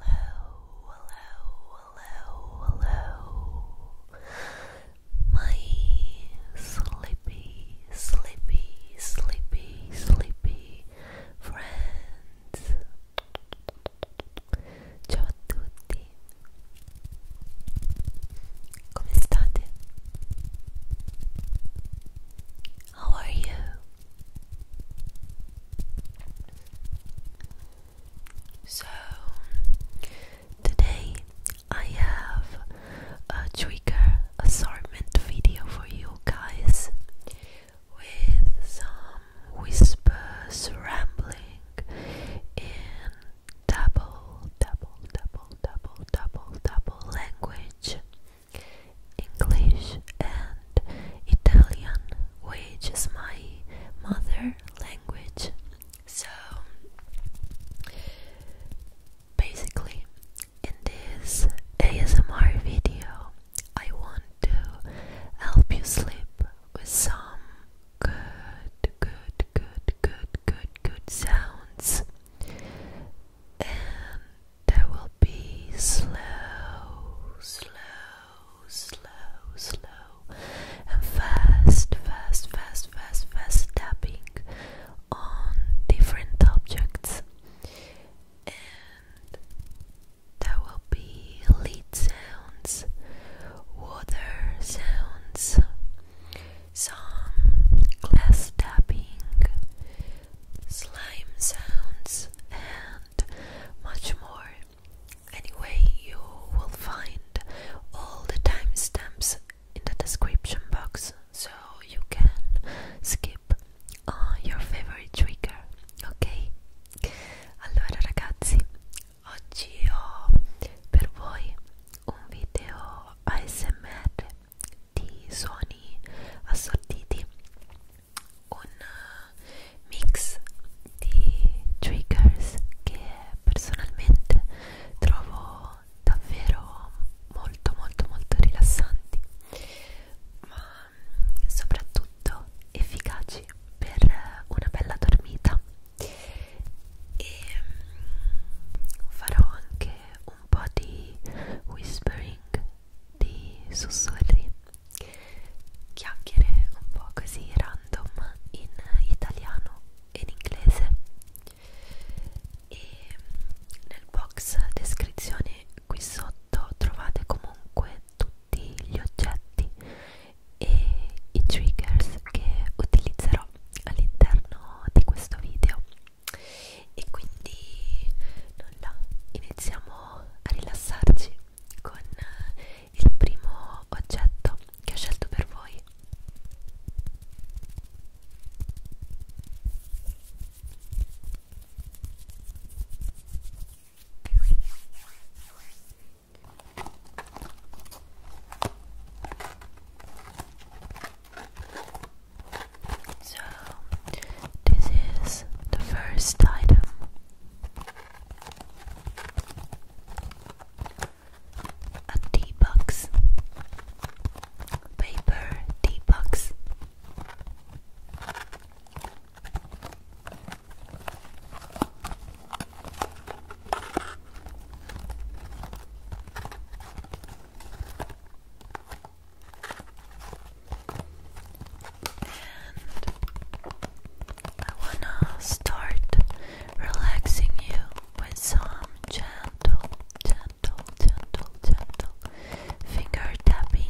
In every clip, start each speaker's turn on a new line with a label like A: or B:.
A: Hello, hello, hello, hello, hello. My sleepy, sleepy, sleepy, sleepy friends. Ciao a tutti. How are you? So, today I have a trigger assortment video for you guys with some whispers, rambling, in double, double, double, double, double, double language. English and Italian, which is my mother language. So basically, in this ASMR video, I want to help you sleep with some good, good, good, good, good, good sounds. There will be slow, slow, slow, slow, and fast, fast, fast, fast, fast tapping on different objects, and there will be lead sounds, water sounds, some glass tapping, slime sounds, and much more. Anyway, you will find all the timestamps in the description box so you can skip uh, your favorite trigger, ok? Allora ragazzi, oggi ho per voi un video ASMR di suoni assortiti un eh, mix di triggers che personalmente trovo davvero molto molto molto rilassanti ma soprattutto efficaci per una bella dormita e mm, farò anche un po' di whispering di sussurri, chiacchiere un po' così random in italiano e in inglese e nel box descrizione qui sotto trovate comunque tutti gli oggetti e i triggers che utilizzerò all'interno di questo video e quindi nulla iniziamo a rilassarci con eh, il primo oggetto che ho scelto per voi So, this is the first item a tea box, paper tea box. And I wanna start relaxing you with some gentle, gentle, gentle, gentle finger tapping.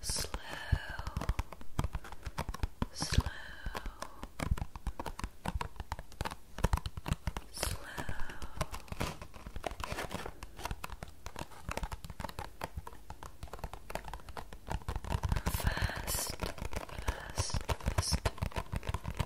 A: Slow, slow, slow. Fast, fast, fast,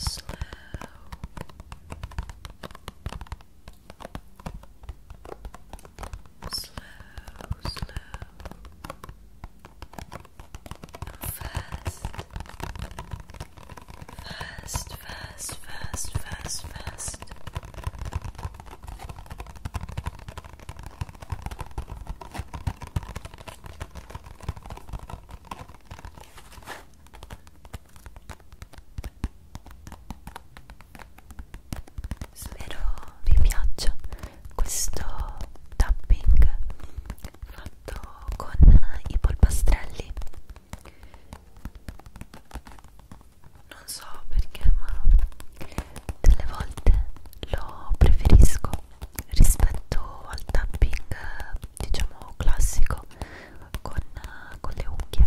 A: Slow. Slow, slow. First, first, first, first, first, first. Spero vi piaccia questo tapping. Fa fatto con i polpastrelli non so perché ma delle volte lo preferisco rispetto al tapping diciamo classico con, con le unghie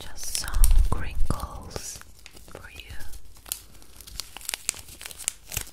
A: Just some crinkles for you.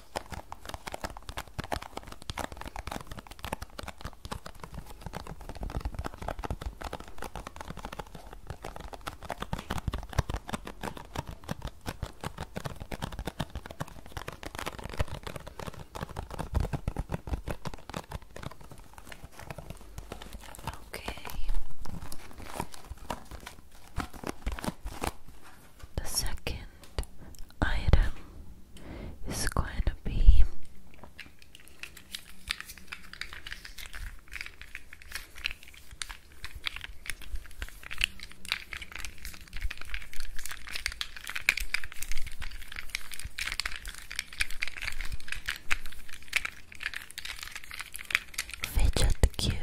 A: Okay. The second item is going to be fidget cube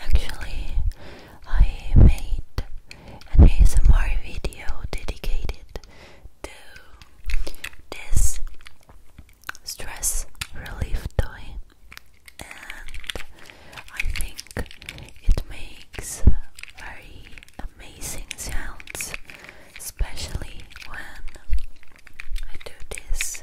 A: Actually, I made an ASMR video dedicated to this stress relief toy, I think it makes very amazing sounds, especially when I do this.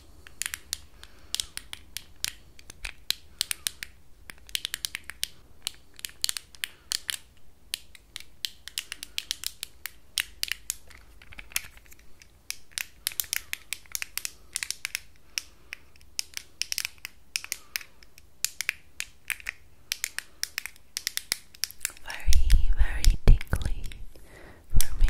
A: Very, very tingly for me.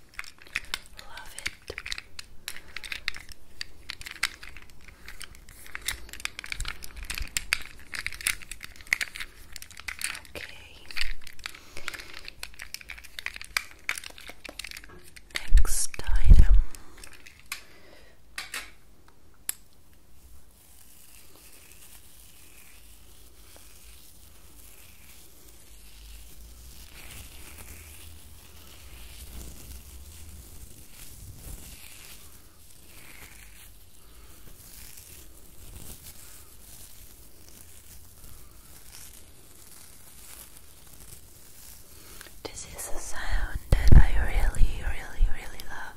A: Love it. Okay. Next item. This is a sound that I really, really, really love.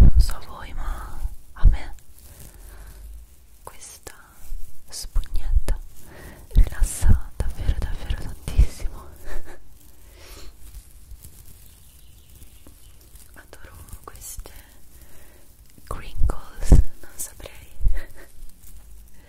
A: Non so voi, ma a me questa spugnetta rilassa davvero davvero tantissimo. Adoro queste crinkles, non saprei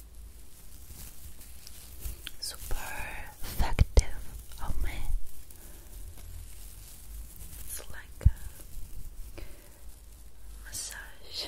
A: super effective on oh, me. It's like massage.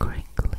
A: and crinkly.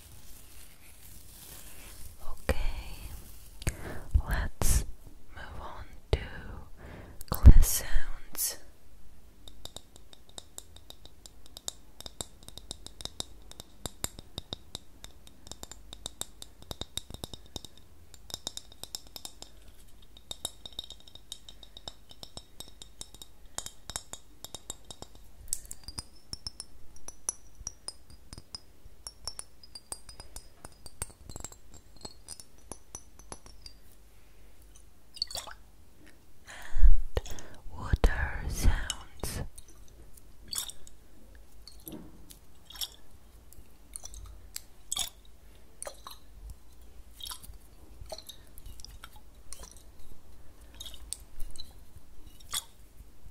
A: Okay, let's move on to class and water sounds.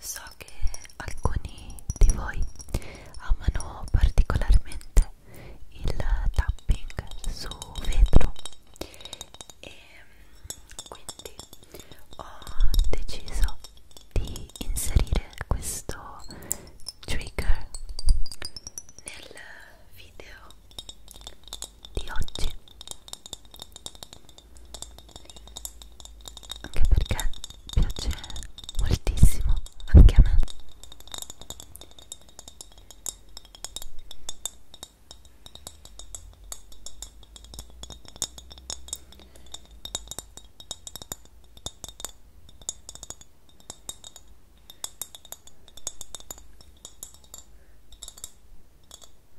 A: So che alcuni di voi amano particolarmente il tapping su vetro e mm, quindi ho deciso di inserire questo trigger nel video di oggi anche perché piace moltissimo anche a me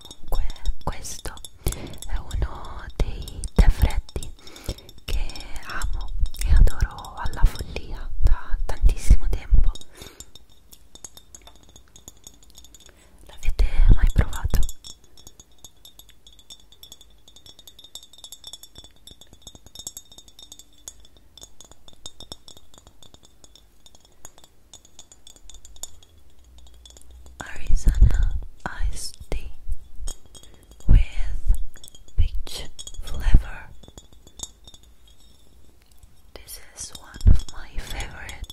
A: comunque questo è uno dei tè freddi che amo e adoro alla follia da tantissimo tempo l'avete mai provato? Arizona iced tea with peach flavor. This is one of my favorite.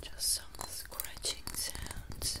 A: Just some scratching sounds.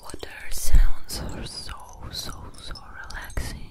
A: Water sounds are so, so, so relaxing.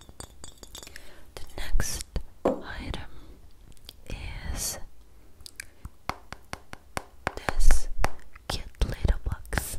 A: the next item is this cute little box.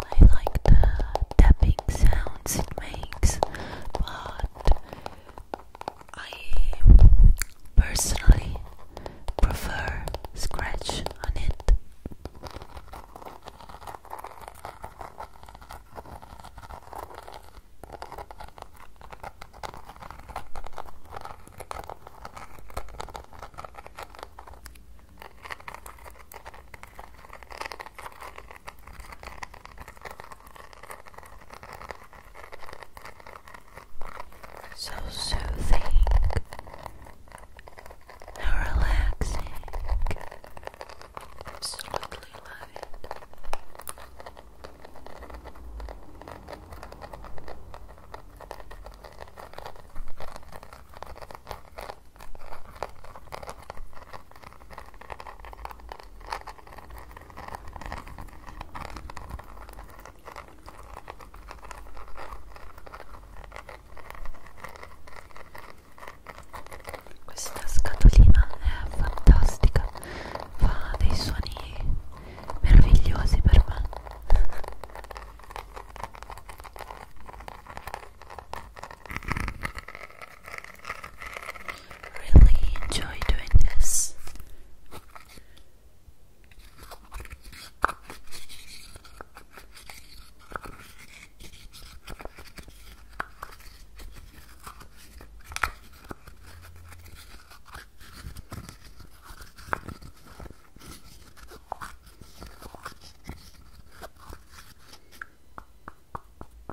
A: I like the tapping sounds it makes, but I personally prefer scratch on it. So soothing and relaxing, absolutely love it. Questa scatolina è fantastica, fa dei suoni meravigliosi per me. Really enjoy doing this.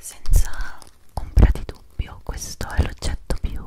A: Senza ombra di dubbio questo è l'oggetto più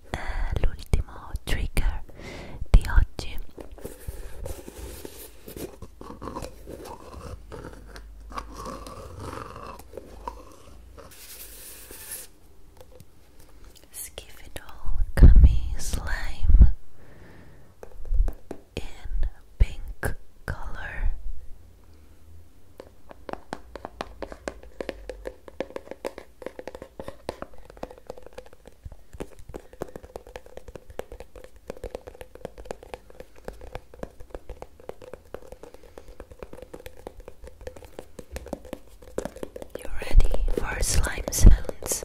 A: eh, l'ultimo trigger di oggi Skifidol Gummy Slime in pink color. You ready for slime sounds?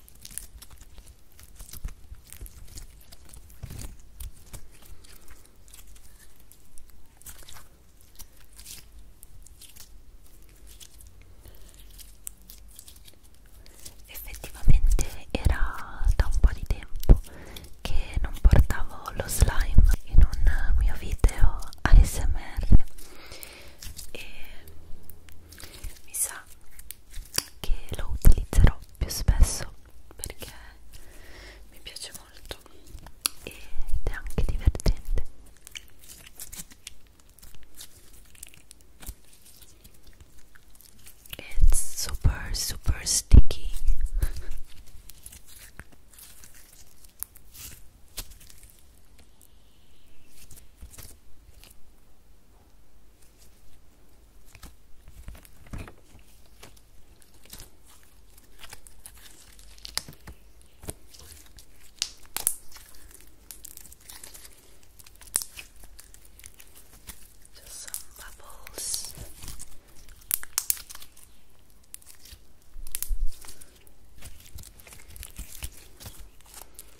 A: Effettivamente era da un po' di tempo che non portavo lo slime in un mio video ASMR e mi sa che lo utilizzerò più spesso perché mi piace molto ed è anche divertente it's super super sticky Just some bubbles. Just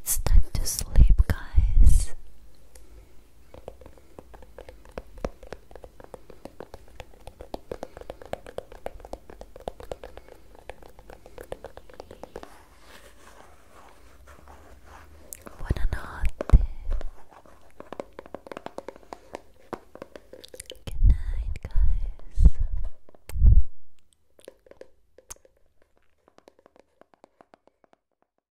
A: It's time to sleep, guys. Buonanotte. Good night, guys.